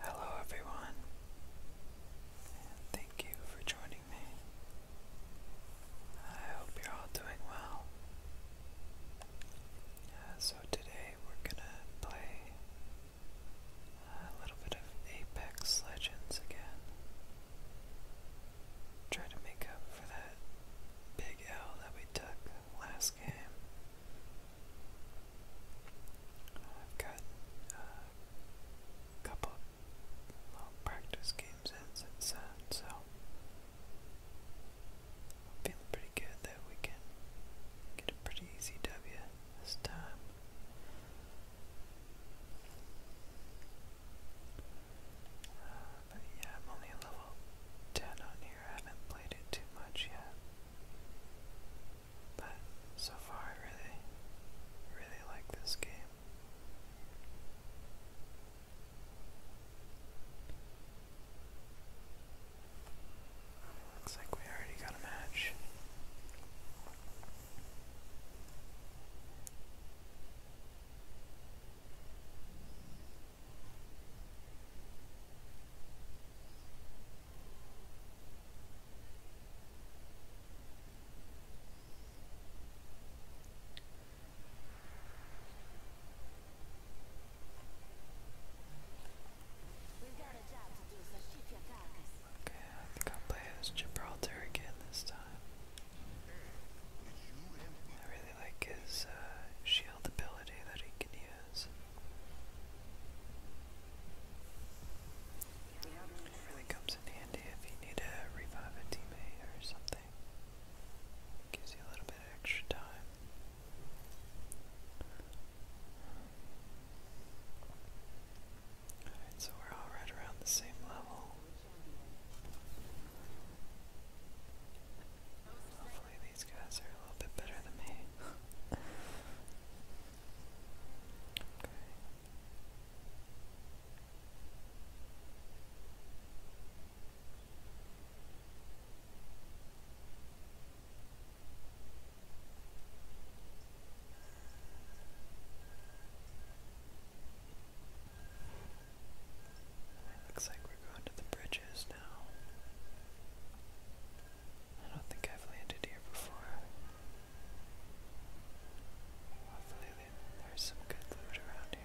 Hello, everyone, thank you for joining me. I hope you're all doing well. Uh, so, today we're gonna play a little bit of Apex Legends again. Try to make up for that big L that we took last I've got a uh, couple of practice games in since so I'm feeling pretty good that we can get a pretty easy W this time. Uh, but yeah, I'm only level 10 on here. I haven't played it too much yet. But so far, I really, really like this game. Looks like we already got a match. Okay, I think I'll play as Gibraltar again this time. I really like his uh, shield ability that he can is. really comes in handy if you need to revive a teammate or something. Gives you a little bit extra time. Alright, so we're all right around the same level these guys are a little bit better than me. It looks like we're going to the bridges I don't think I've landed here before. Hopefully, there's some good loot around here.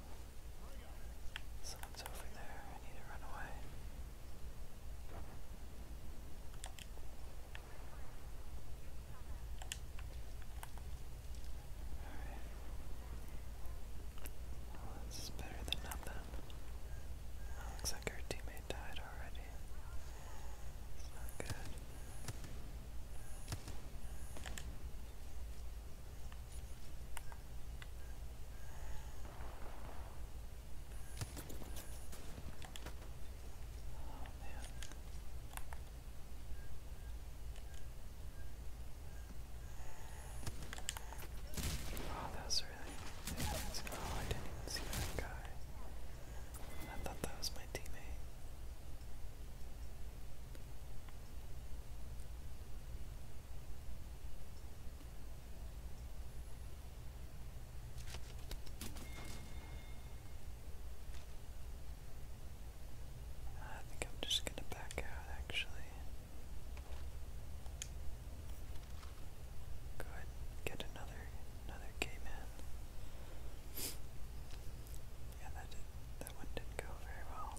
Someone's over there. I need to run away. Alright. better than nothing. looks like our teammate died already. It's not good. Oh, man. Oh, that was really Oh, I didn't even see that guy. I thought that was my teammate. I think I'm just going to back out actually. Go ahead get another another game in. Yeah, that that one didn't go very well.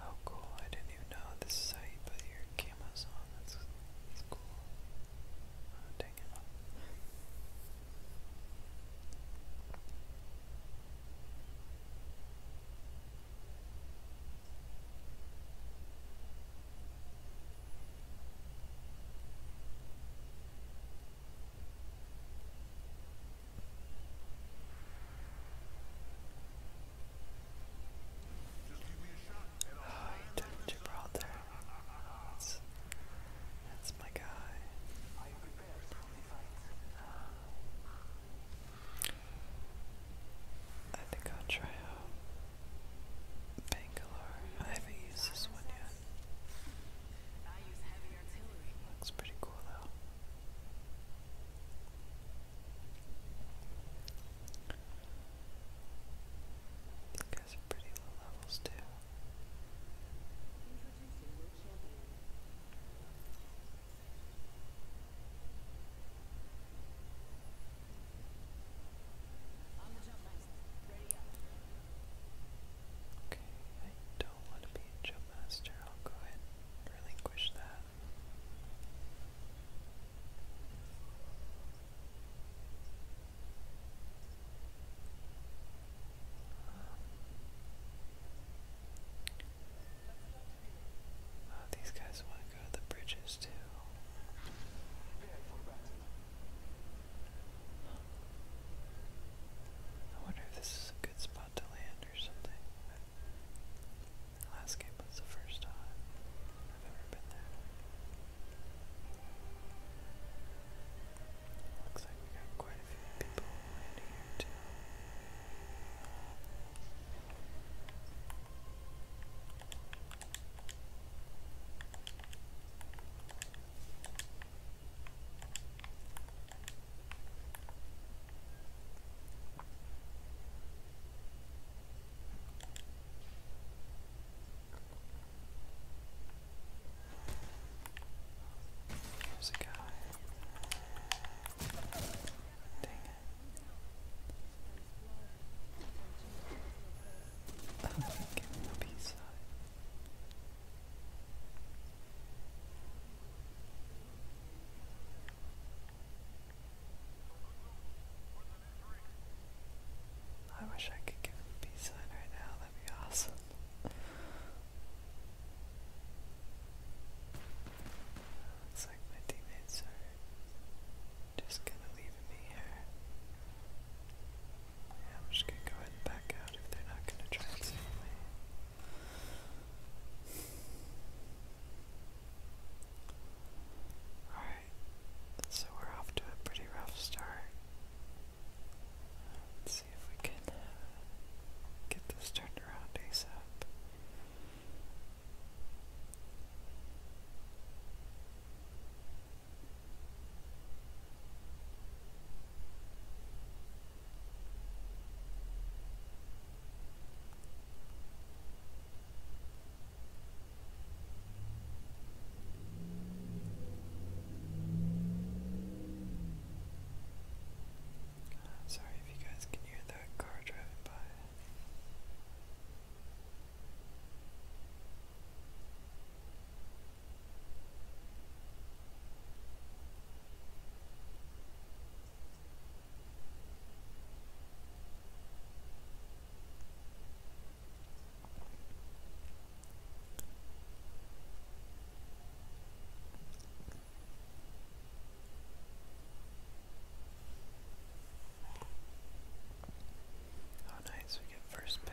Oh cool, I didn't even know this site, but your camera's on, that's, that's cool. Oh, dang it. Oh, he took Gibraltar. That's, that's my guy. Are you prepared for the fight? I think I'll try out Bangalore. I haven't used this one yet. Looks pretty cool though. These guys are pretty low levels too. Okay, don't want to be a jump I'll go ahead and relinquish that. Um, oh, these guys want to go to the bridges too. I wonder if this is a good spot thought to land or something. last game was the first time I've ever been there. Looks like we got quite a few people landing here too. There's a guy. Dang it. Oh, give me a piece of I wish I could give him peace sign right now, that'd be awesome. Looks like my teammates are just kind of leaving me here. I'm just gonna go ahead and back out if they're not gonna try and Alright, so we're off to a pretty rough start. Let's see if we can uh, get this turned around ASAP. I'm sorry if you guys can hear that car driving by. Oh nice, we get first pick.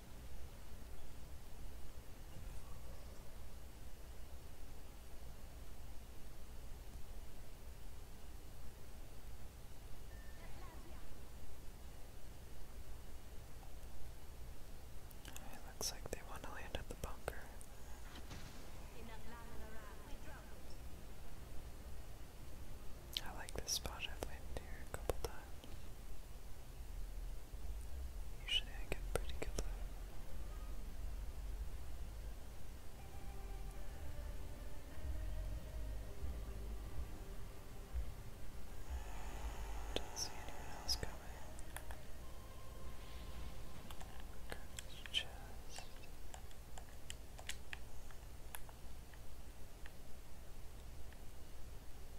looks like they want to land at the bunker. I like this spot. I've landed here a couple times. Usually I get pretty good Don't see anyone else coming. Good chest. Good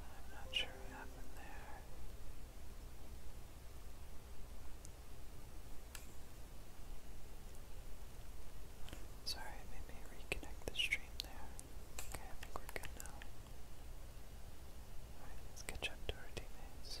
I'm not sure what happened there. Sorry, maybe reconnect the stream there. Okay, I think we're good now. Alright, let's catch up to our teammates.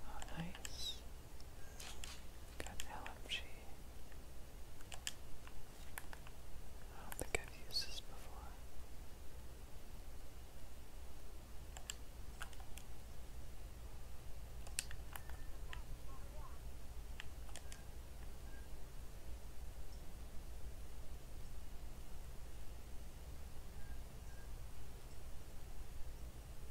Oh, nice. Got LMG. I don't think I've used this before.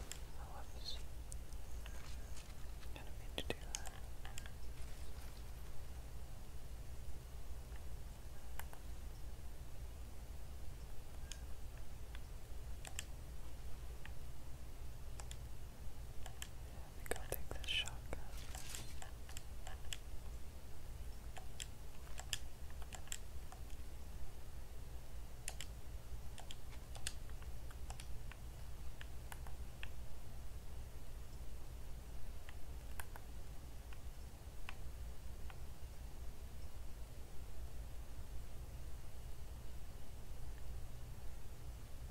I love this. mean to do that. I think take this shotgun.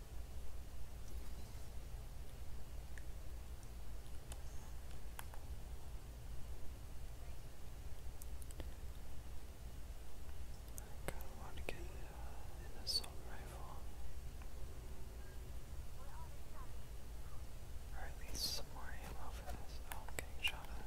I kind of want to get an uh, assault rifle. Or at least some more ammo for this. I'm oh, getting shot at.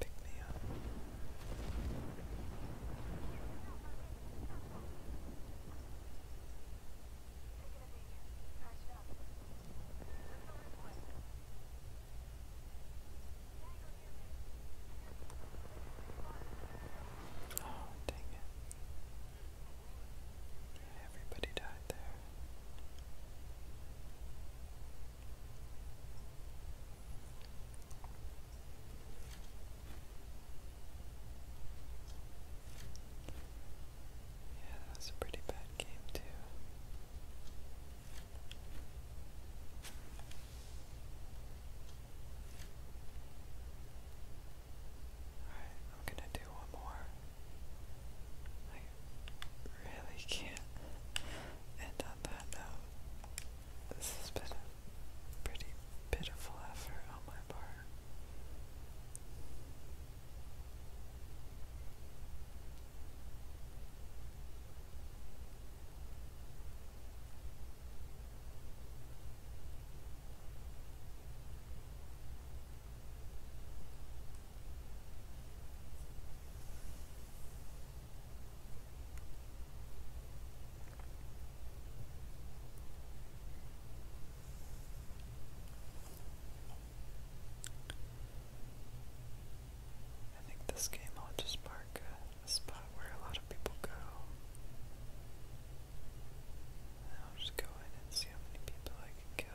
Pick me up. Oh, dang it. Everybody died there. Yeah, that was a pretty bad game, too. Alright, I'm gonna one more. I really can't end on that note. This has been a pretty pitiful effort on my part. I think this game I'll just mark a, a spot where a lot of people go. And I'll just go in and see how many people I I can go.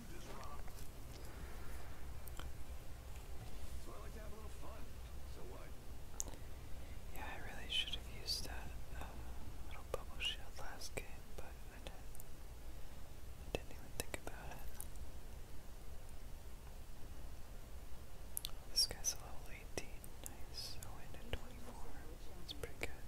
Yeah, I really should have used that uh, little bubble shield last game, but I didn't. I didn't even think about it. This guy's a level 18, nice. I went at 24. That's pretty good.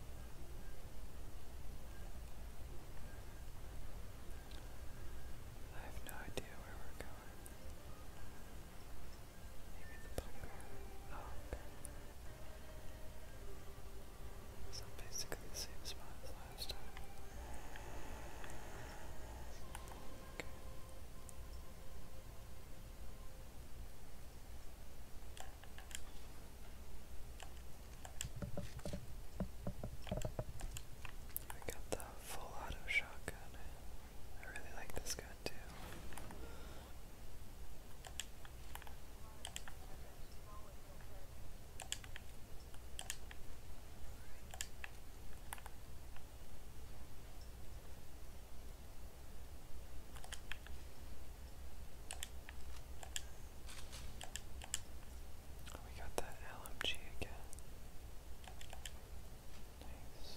I have no idea where we're going. Maybe the bunker. Oh, okay. So basically the same spot as last time. Okay. I got the full auto shotgun. I really like this gun too. Oh, we got that LMG again. Nice.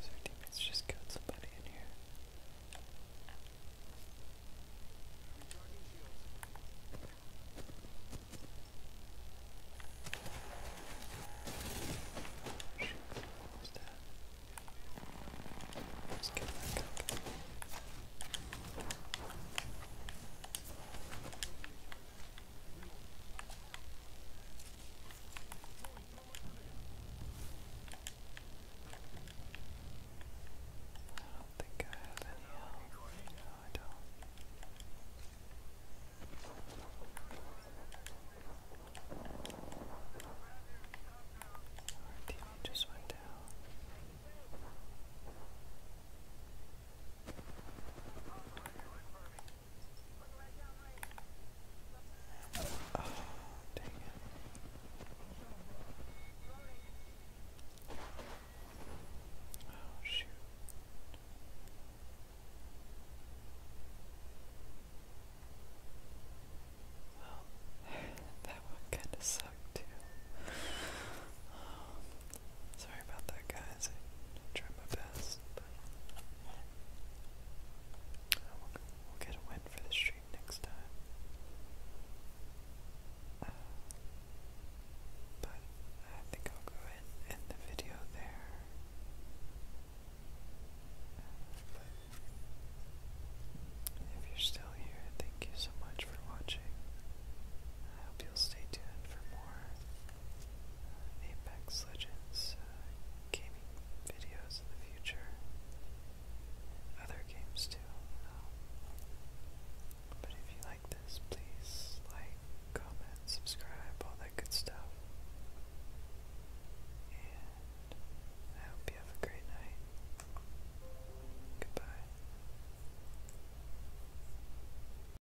so teammates just killed somebody in here. Let's get back I don't think I have any help. No, I don't. Our team just went down. Oh, dang it. Oh, shoot. Well, that one kind of sucked too. Sorry about that, guys. I tried my best, but I will get a win for the street next time. Uh, but I think I'll go ahead end the video there. Uh, if you're still here, thank you so much for watching. I hope you'll stay tuned for more uh, Apex Legends uh, gaming videos in the future, other games too. Um, but if you like this, please like, comment, subscribe, all that good stuff. And I hope you have a great night. Goodbye.